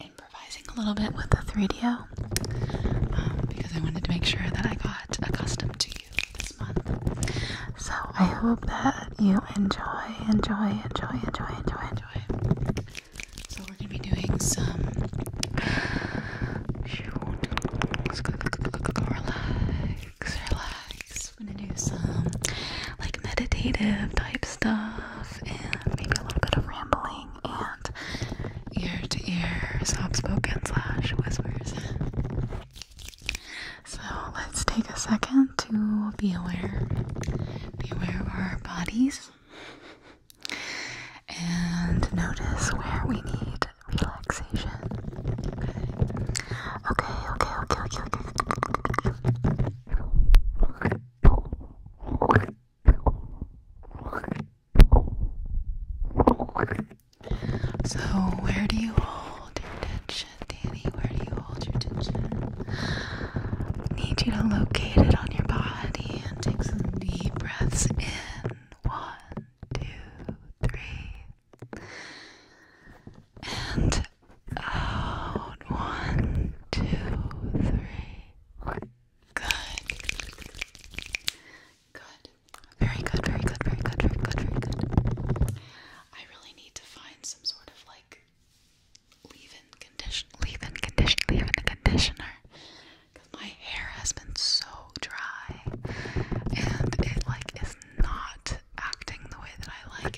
improvising a little bit with the 3 d um, because I wanted to make sure that I got accustomed to you this month. So I hope that you enjoy, enjoy, enjoy, enjoy, enjoy, enjoy. So we're gonna be doing some relax, relax. We're gonna do some like meditative type stuff and maybe a little bit of rambling talking and ear to ear soft spoken slash whispers. So let's take a second to be aware. Be aware of our bodies and notice where we need relaxation. Okay, okay, okay, okay, okay. okay. okay. So, where do you hold your tension, Danny? Where do you hold your tension? Need you to locate it on your body and take some deep breaths in. One, two, three. And out. One, two, three. Good. Good. Very good, very good, very good, very good, very good. I really need to find some sort of like leave-in conditioner. leave-in conditioner. leave-in conditioner. Because my hair has been so dry and it like is not acting the way that I like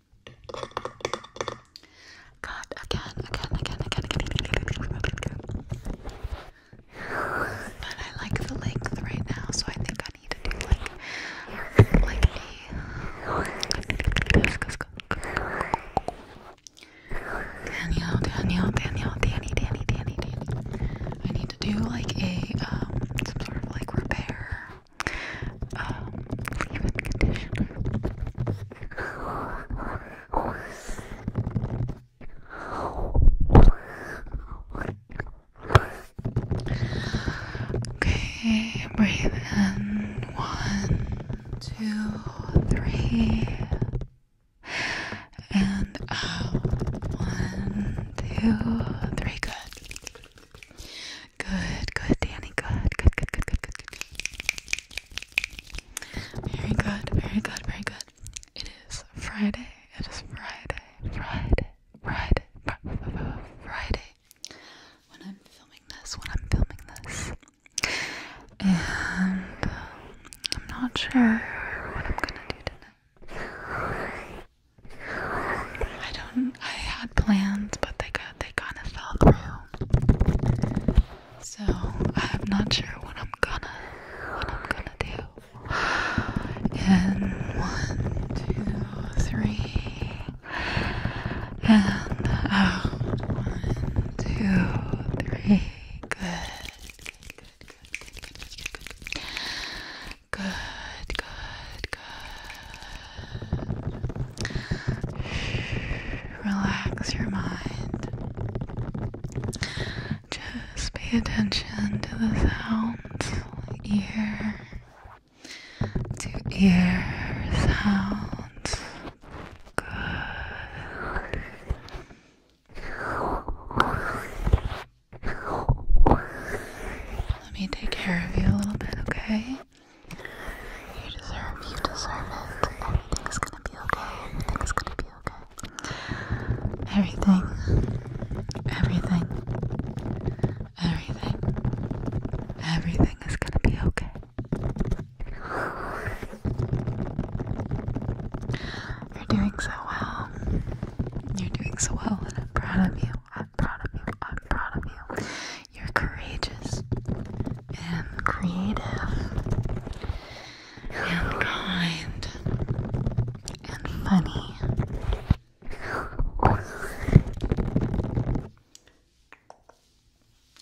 God, again, again, again, again, again, again. But I like the length right now, so I think I need to do like, like a. Danielle, Danielle, Danielle, Danny, Danny, Danny, Danny. I need to do like a um some sort of like repair Okay, breathe in. One, two, three. And out. One, two, three. Good. Good, good, Danny. Good, good, good, good, good, good. Very good, very good, very good. It is Friday. It is Friday, Friday, Friday, Friday. When I'm filming this, when I'm filming this, and um, I'm not sure what I'm gonna do tonight. I don't. I had plans, but they got they kind of fell through. So I'm not sure what I'm gonna what I'm gonna do. And one, two, three, and out. One, two, three. Good. Good. Good. Good. Good. Good, good, good. Relax your mind. Just pay attention to the sounds, ear to ear sounds. Good. Let me take care of you a little bit, okay? You deserve, you deserve it. Everything's gonna be okay. Everything's gonna be okay. Everything. Everything. Everything. Everything is gonna be okay. You're doing so well. You're doing so well, and I'm proud of you. I'm proud of you. I'm proud of you. You're courageous and creative and kind and funny.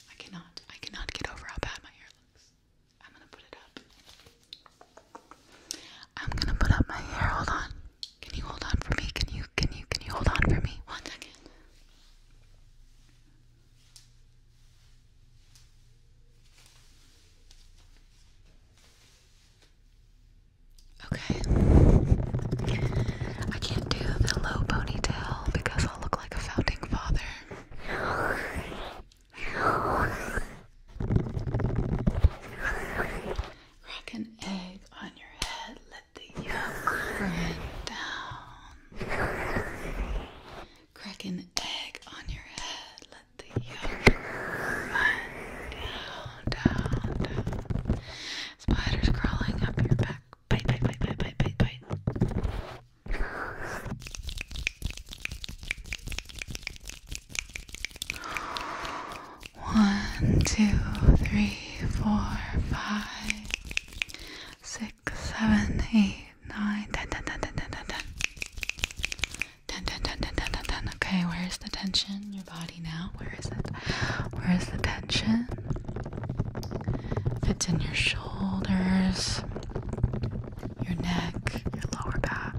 I cannot, I cannot get over how bad my hair looks. I'm gonna put it up. I'm gonna put up my hair. Hold on. Can you hold on for me? Can you, can you, can you hold on for me? One second. Okay. I can't do the low ponytail because I'll look like a founding father. Rock an egg on your head. Let the yolk run down. Crack an egg on your head. Let the yolk run down, down. Spiders crawling up your back. Bite, bite, bite, bite, bite, bite, bite. One, two, three, four, five, six, seven, eight, nine, ten, ten, ten, ten, ten, ten, ten. Ten, ten, ten, ten, ten, ten, ten. Okay, where's the tension in your body now? Where is it? Where is the tension? If it's in your shoulders, your neck, your lower back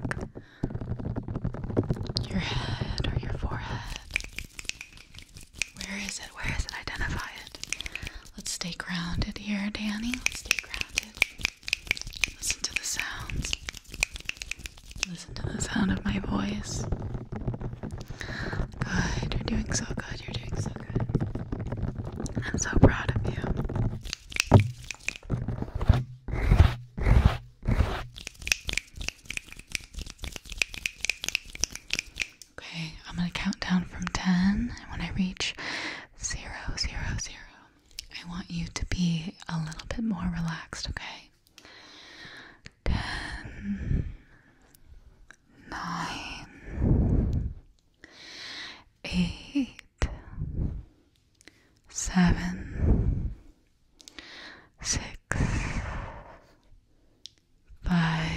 your head or your forehead. Where is it? Where is it? Identify it. Let's stay grounded here, Danny. Let's stay grounded. Listen to the sounds. Listen to the sound of my voice. Good. You're doing so good. You're doing so good. I'm so proud of you. Okay, I'm gonna count down from 10, and when I reach zero, zero, zero, I want you to be a little bit more relaxed, okay? 10, 8, eight, seven, six, five,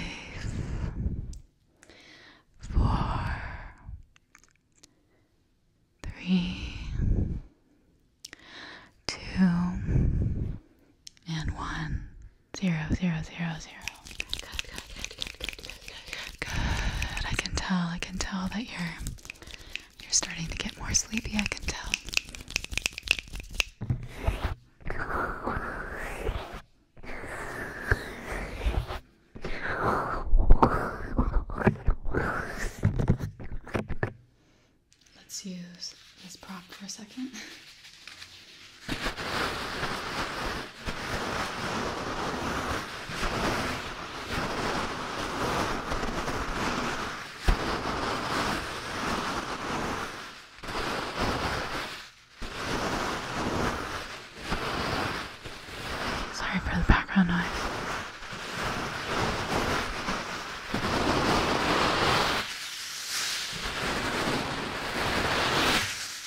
four, three, two, and one, zero, zero, zero, zero. Good, Good. I can tell. I can tell that you're you're starting to get more sleepy. I can tell. Let's use this prop for a second. Sorry for the background noise.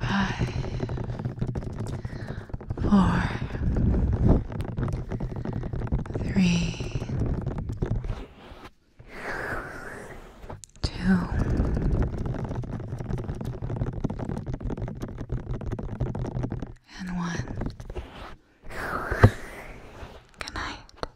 Five, four, three, two, and one. Good night.